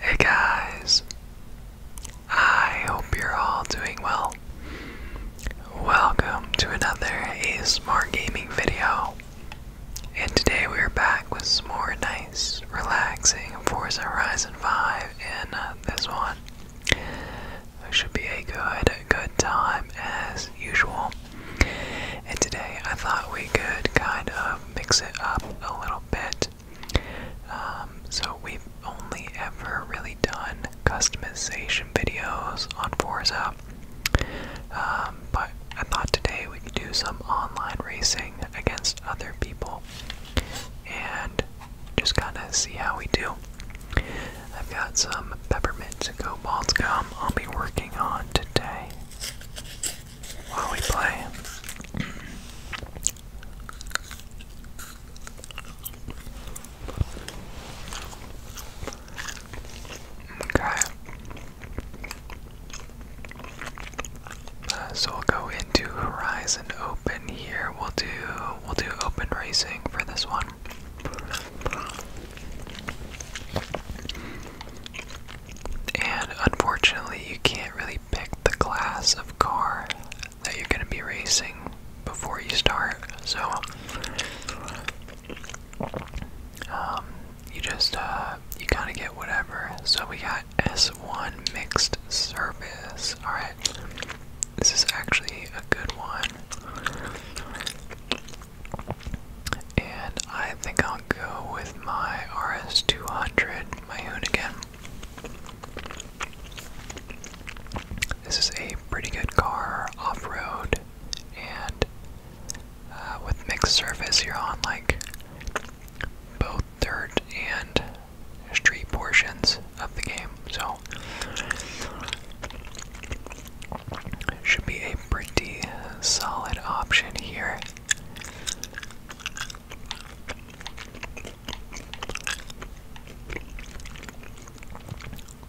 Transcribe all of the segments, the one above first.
Hey guys, I hope you're all doing well. Welcome to another A Smart Gaming video, and today we are back with some more nice, relaxing Forza Horizon 5, in uh, this one it should be a good, good time as usual. And today I thought we could kind of mix it up a little bit. Um, so we've only ever really done customization videos on Forza. Um, but I thought today we could do some online racing against other people. And just kind of see how we do. I've got some peppermint cobalt gum I'll be working on today while we play. Okay. Uh, so we'll go into Horizon Open here. We'll do we'll do open racing for this one. And unfortunately, you can't really pick the class of car that you're going to be racing before you start. So, um, you just, uh, you kind of get whatever. So, we got S1 mixed service. Alright. This is actually a good one. And I think I'll go with my RS200 Mahoon again. This is a pretty good car off road and uh, with mixed surface, you're on like both dirt and street portions of the game. So should be a pretty solid option here.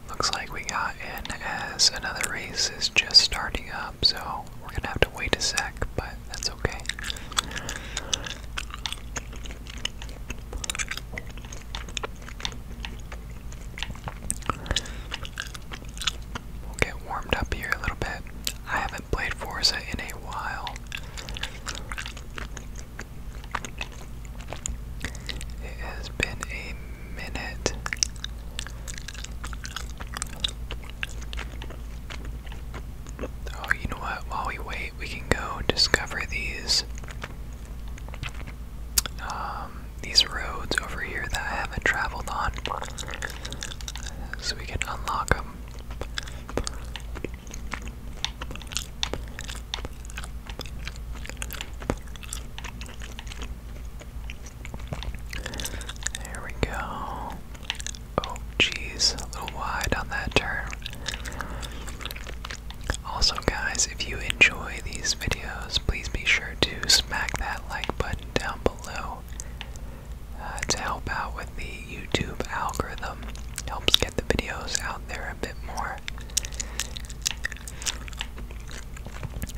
Looks like we got in as another race is just starting up, so we're gonna have to wait a sec, but that's okay. We'll get warmed up here a little bit. I haven't played Forza in a while. It has been a minute. Oh, you know what? While we wait, we can go discover these um, these roads over here that I haven't traveled on, so we can unlock them. There we go. Oh, jeez, a little wide on that turn. Also, guys, if you enjoy these videos, please be sure to smack that like button down below uh, to help out with the YouTube algorithm. Helps get the videos out there a bit more.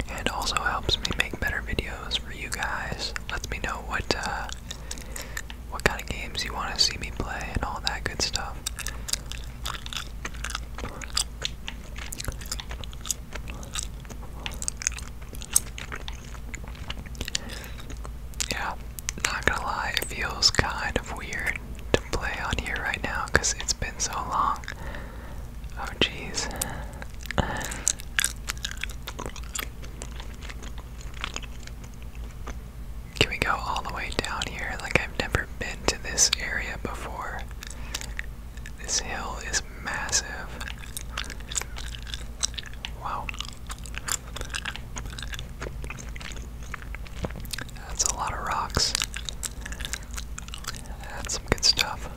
And also helps me make better videos for you guys. Lets me know what uh, what kind of games you want to see me play and all that good stuff. Yeah, not gonna lie, it feels kind of weird to play on here right now because it's been so long. Oh, jeez. Can we go all the way down here? Like, I've never been to this area before. This hill is massive. Wow. That's a lot of rocks. That's some good stuff.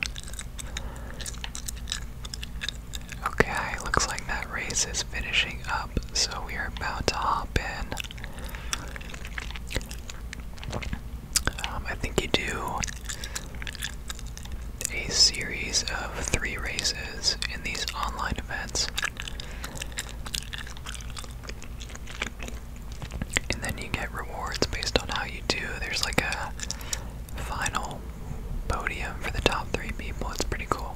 Okay, looks like that race is finishing up, so we are about to hop in. Um, I think you do a series of three races in these online events. And then you get rewards based on how you do. There's like a final podium for the top three people. It's pretty cool.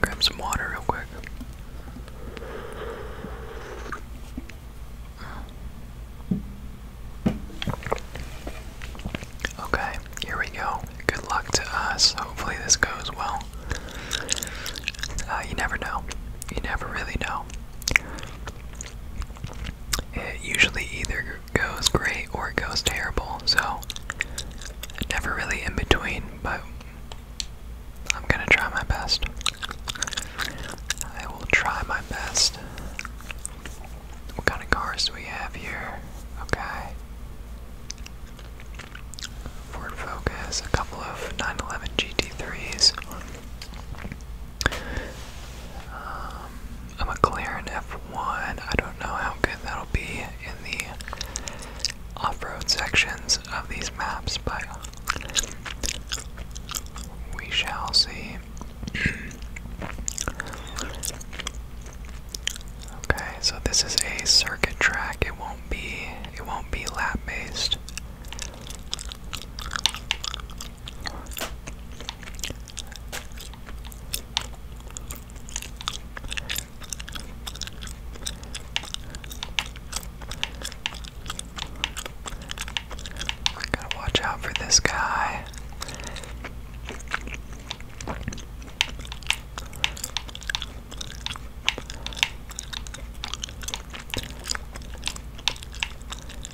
Grab some water real quick. Okay, here we go. Good luck to us. Hopefully, this goes well. Uh, you never know. You never really know. usually either goes great or it goes terrible, so never really in between, but I'm gonna try my best. I will try my best. What kind of cars do we have here? Okay. Ford Focus, a couple of 911 GT3s. Um, a McLaren F1. I don't know how good that'll be in the off-road sections of these maps, but we shall see. okay, so this is a circuit track. It won't be. It won't be lap based. Gotta watch out for this guy.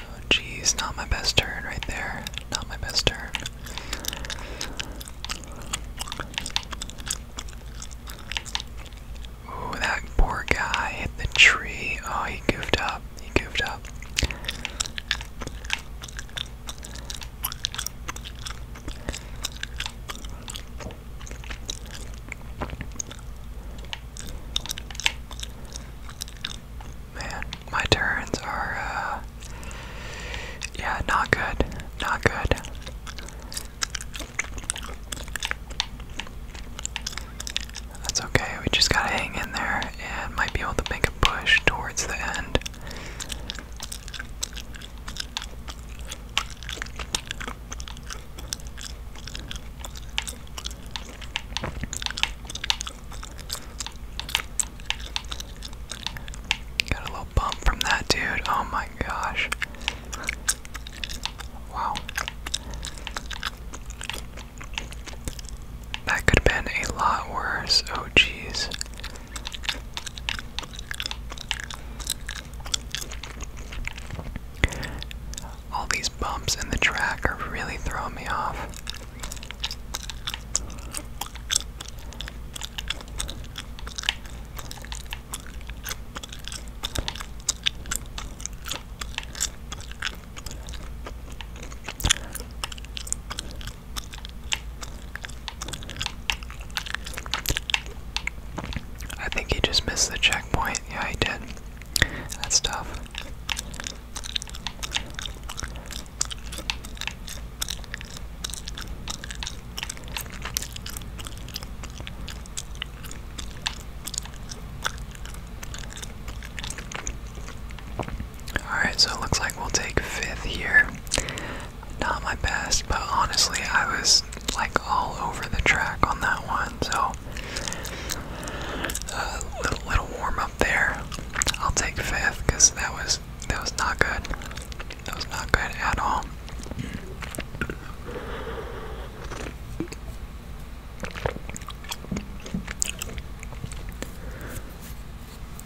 Oh jeez, not my best turn right there. Not my best turn. Ooh, that poor guy hit the tree. Oh, he goofed up. He goofed up man, my turns are, uh, yeah, not good, not good. That's okay, we just gotta hang in there and might be able to make a push towards the end. Got a little bump from that dude. Oh my gosh. Wow. That could have been a lot worse. Oh jeez. All these bumps in the track are really throwing me off. I think he just missed the checkpoint. Yeah, he did. That's tough. Alright, so it looks like we'll take fifth here. Not my best, but honestly, I was like all over the track on that one, so uh, a little warm up there. I'll take fifth because that was that was not good. That was not good at all.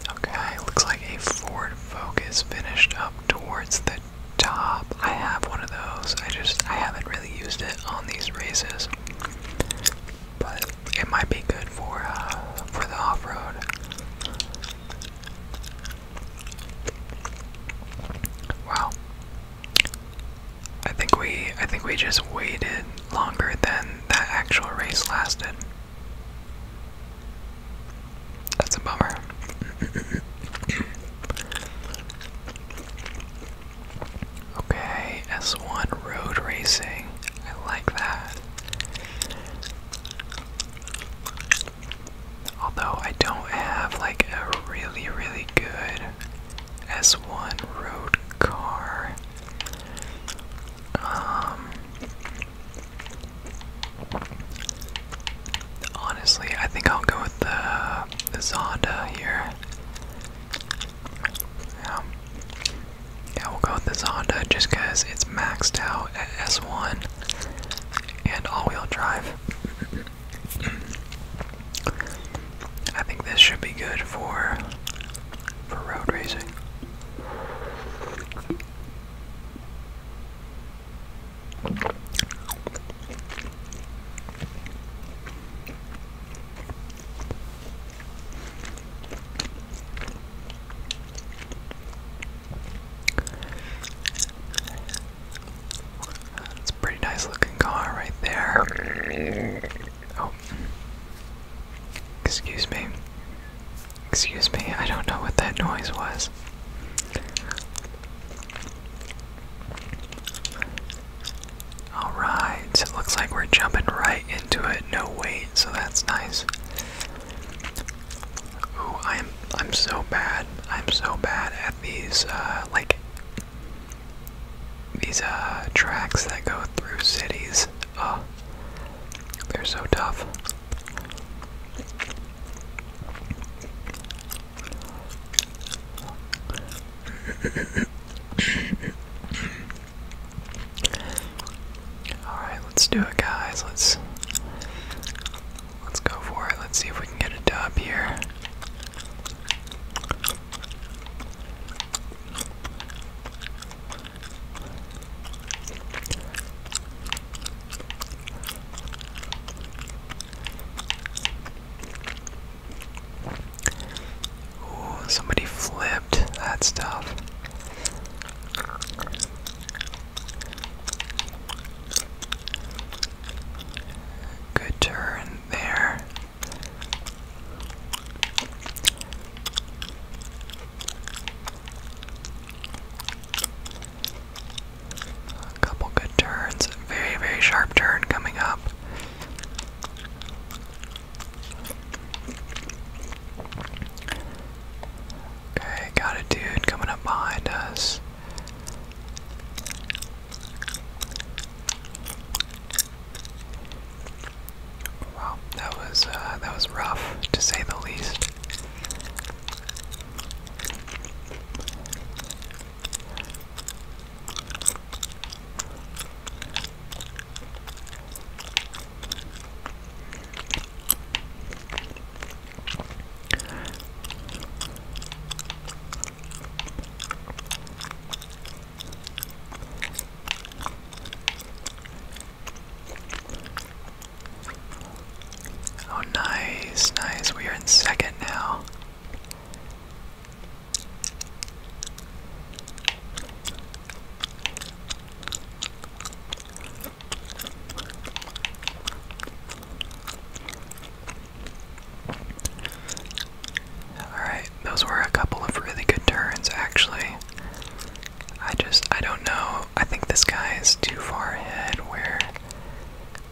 Okay, looks like a Ford Focus finished up towards the top. I have one of those. I just I haven't really used it on these races. But it might be good for uh, for the off road. Wow. I think we I think we just waited longer than that actual race lasted. That's a bummer. okay, S1 road racing. I like that. Although I don't have like a really, really good S1 road car. Um, honestly, I think I'll go with the, the Zonda here. Yeah. Yeah, we'll go with the Honda just because it's maxed out at S1 and all-wheel drive. I think this should be good for for road racing. It's a pretty nice looking car right there. Oh. Excuse me. Excuse me, I don't know what that noise was. Alright, it looks like we're jumping right into it no weight, so that's nice. Ooh, I'm I'm so bad. I'm so bad at these uh like these uh tracks that go through cities. Oh, they're so tough. Alright, let's do it guys. Let's let's go for it. Let's see if we can get a dub here. Ooh, somebody flipped that stuff. Good turn there. A couple good turns. Very, very sharp turn coming up. Okay, got a dude coming up behind us. Wow, that was uh, that was rough to say the least. Oh, nice, nice. We are in second now. Alright, those were a couple of really good turns, actually. I just, I don't know. I think this guy is too far ahead where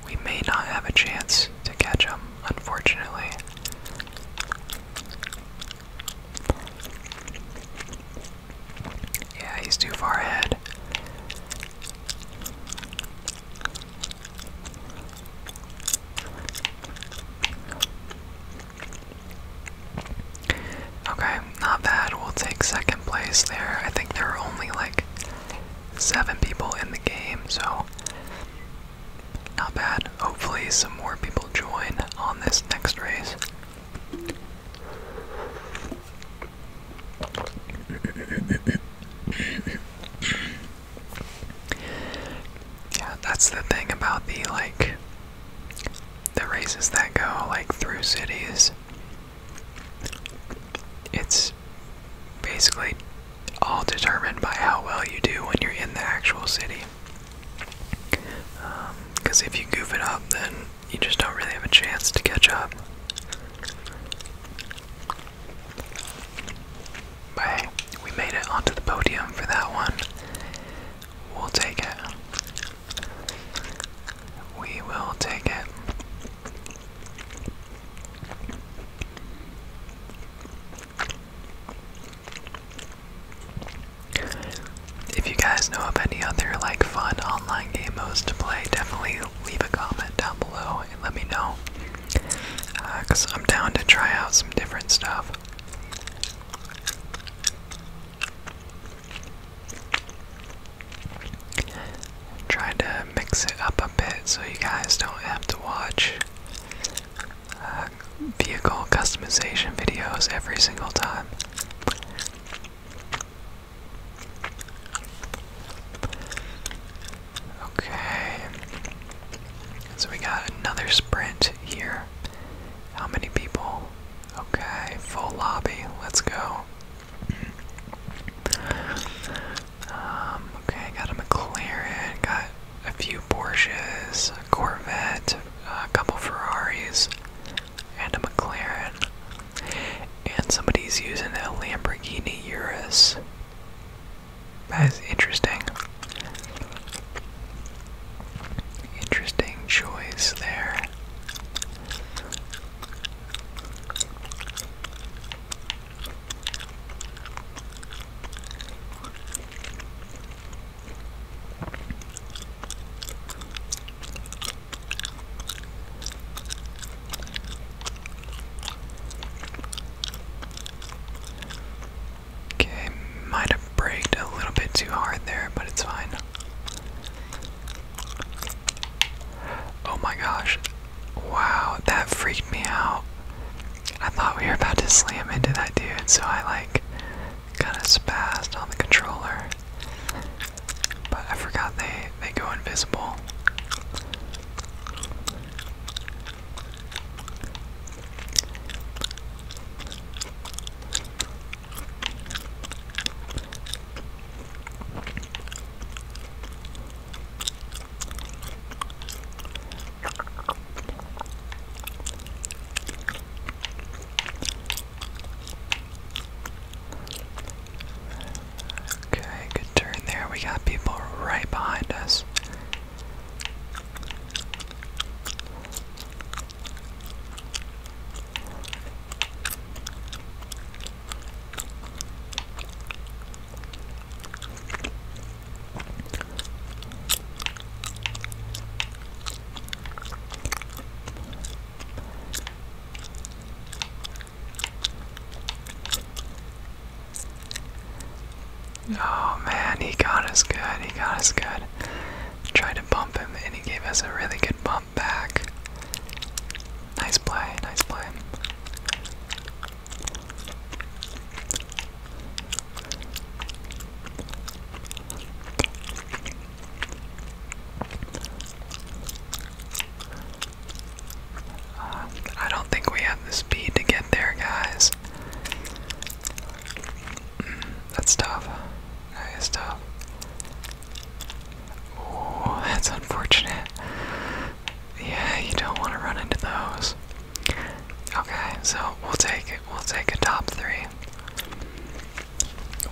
we may not have a chance to catch him, unfortunately. Yeah, he's too far ahead. Okay, not bad. We'll take second place there. I think there are only like seven people in the game, so not bad. Hopefully, some more people join on this next race yeah, that's the thing about the like the races that go like through cities. It's basically all determined by how well you do when you're in the actual city. Because um, if you goof it up, then you just don't really have a chance to catch up. But we made it onto the podium for that one. We'll take it. We will take it. If you guys know of any other like fun online game modes to play, definitely leave a comment down below and let me know. Uh, Cause I'm down to try out some different stuff. Try to mix it up a bit so you guys don't have to watch uh, vehicle customization videos every single time. Okay. So we got another sprint here. How many people? Okay, full lobby. Let's go. Um, okay, got a McLaren, got a few Porsches, a Corvette, a couple Ferraris and a McLaren, and somebody's using a Lamborghini Urus. That is interesting. Interesting choice there. Okay, might have braked a little bit too hard there, but it's fine. Oh my gosh. Wow, that freaked me out. I thought we were about to slam into that dude, so I like kind of spazzed on the controller. But I forgot they they go invisible. Okay, good turn there. We got people right behind us. Oh man, he got us good. He got us good. Tried to bump him, and he gave us a really good bump back. Nice play, nice play. Um, I don't think we have the speed to get there, guys. Mm, that's tough. That is tough. Oh, that's unfortunate. Yeah, you don't want to run into those. Okay, so we'll take it. We'll take a top three.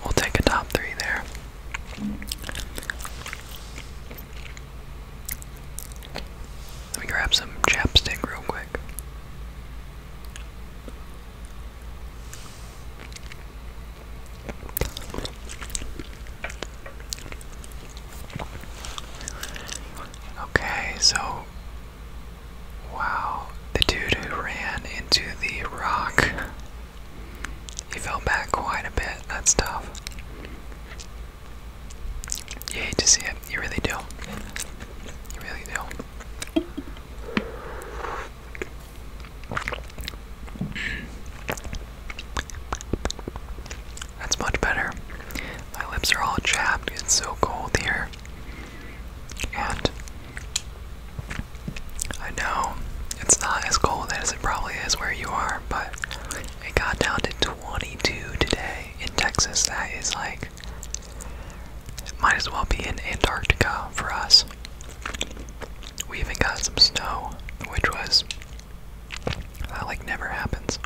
We'll take a top three there. Let me grab some chapstick real quick. Okay, so Wow, the dude who ran into the rock. He fell back quite a bit. That's tough. You hate to see it. You really do. You really do. That's much better. My lips are all chapped. It's so cold here. And I know it's not as cold as it probably is where you are, but it got down to 22 today in Texas. That is like, might as well be in Antarctica for us. We even got some snow, which was, that like never happens.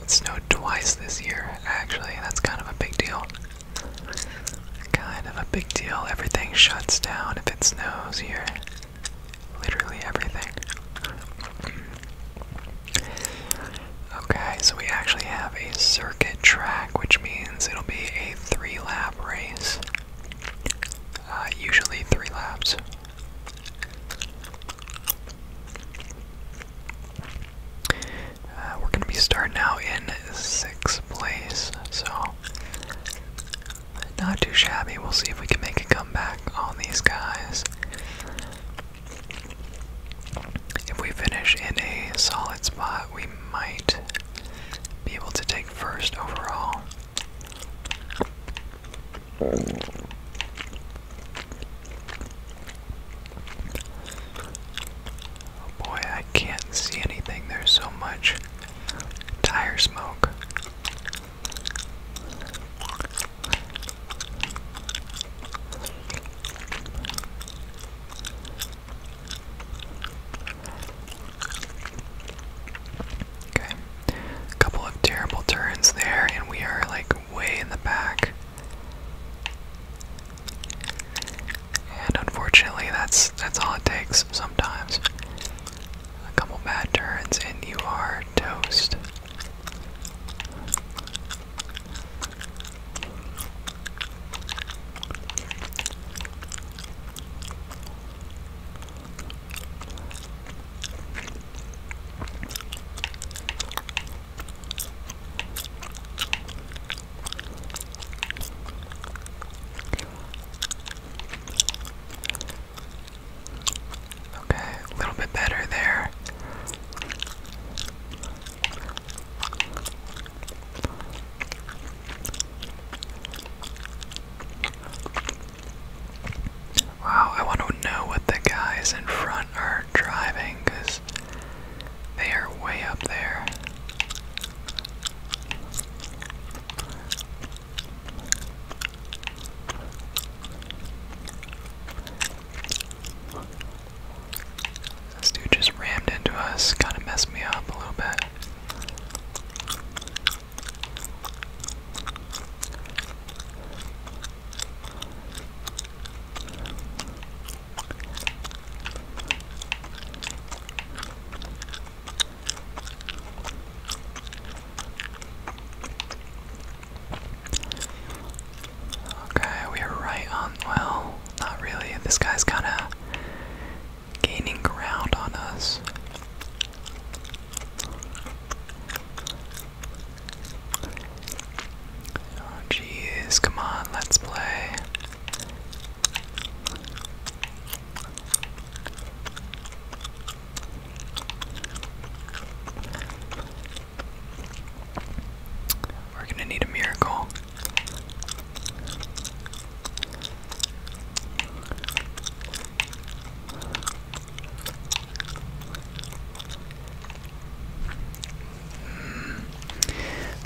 It snowed twice this year, actually. That's kind of a big deal. Kind of a big deal. Everything shuts down if it snows here. Literally everything. Okay, so we actually have a circuit track, which means it'll be a three lap race. Uh, usually three laps. Uh, we're gonna be starting out in sixth place, so not too shabby. We'll see if we can make a comeback on these guys. If we finish in a solid spot, we might be able to take first overall. Oh boy, I can't see anything. There's so much tire smoke. Okay. A couple of terrible turns there, and we are like way in the back. And unfortunately, that's that's all it takes sometimes. A couple bad turns and you are toast. Okay, a little bit better there. Wow, I want to know what the guys in front are are driving because they are way up there. This dude just rammed into us, kind of messed me up a little bit. Okay, we are right on. Well, not really. This guy's kind of gaining ground on us. Oh jeez, come on, let's play. We're gonna need a miracle.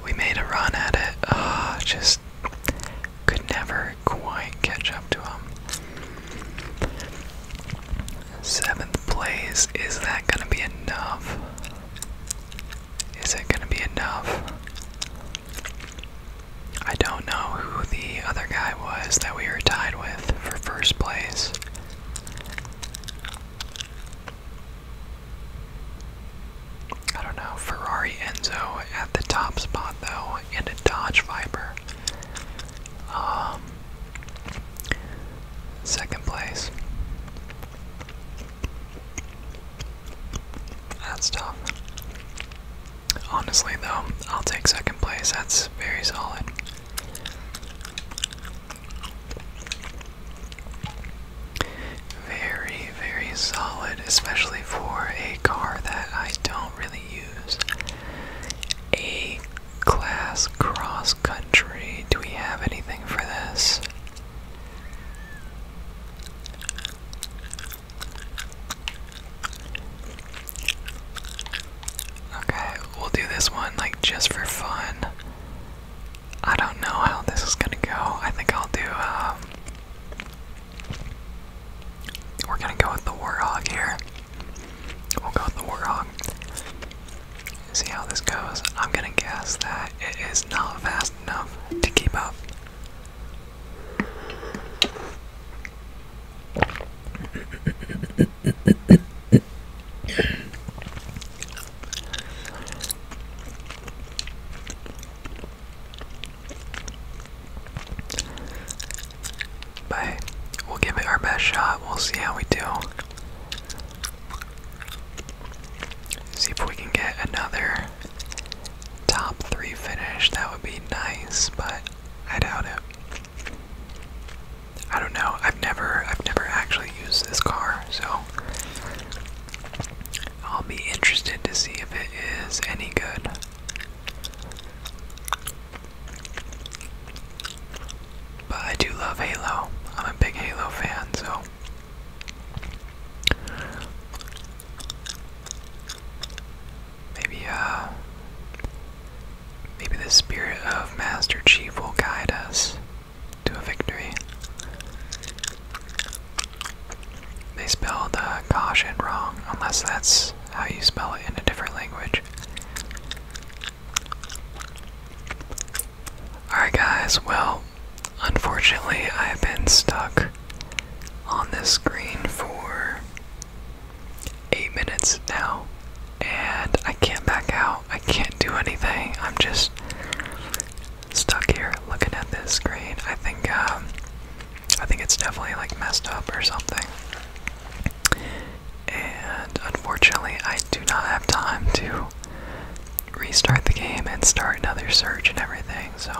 We made a run at it. Ah, just could never quite catch up to him. Seventh place. Is that going to be enough? Is it going to be enough? I don't know who the other guy was that we were tied with for first place. I don't know. Ferrari Enzo at the top spot though, and a Dodge Viper. Um, second place. That's tough. Honestly, though, I'll take second place. That's very solid. Very, very solid, especially for a car that I don't really use. A class cross country. Do we have anything for this? Okay, we'll do this one like just for fun. I don't know how this is gonna go. I think I'll do. Um, we're gonna go with the warthog here. We'll go with the warthog. See how this goes. I'm gonna guess that it is not fast enough to keep up. But we'll give it our best shot. We'll see how we do. See if we can get another top three finish. That would be nice, but I doubt it. I don't know. I've never I've never actually used this car, so I'll be interested to see if it is any good. But I do love Halo. I'm a big Halo fan, so maybe uh maybe the spirit of Master Chief will guide us to a victory. They spelled the caution wrong, unless that's how you spell it in a different language. Alright, guys, well, unfortunately, I've been stuck on this screen for eight minutes now, and I can't back out. I can't do anything. I'm just stuck here looking at this screen. I think um, I think it's definitely like messed up or something. And unfortunately, I do not have time to restart the game and start another search and everything. So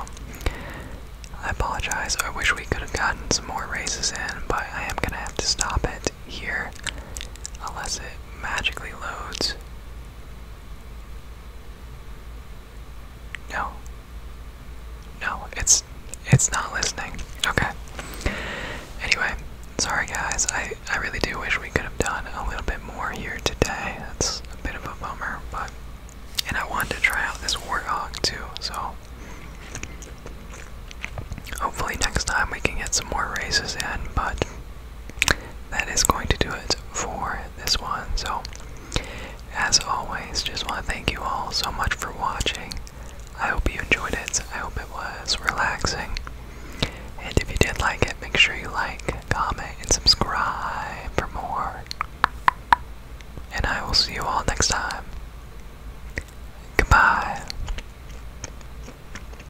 I apologize. I wish we could have gotten some more races in, but I am going to have to stop it here unless it magically loads. No. No, it's it's not listening. Okay. Anyway, sorry guys. I I really do wish we could have done a little bit more here today. That's a bit of a bummer, but and I wanted to try out this warthog too, so hopefully next time we can get some more races in, but that is going to do it for this one. So, as always, just want to thank you all so much for watching. I hope you enjoyed it. I hope it was relaxing. And if you did like it, make sure you like, comment, and subscribe for more. And I will see you all next time. Goodbye.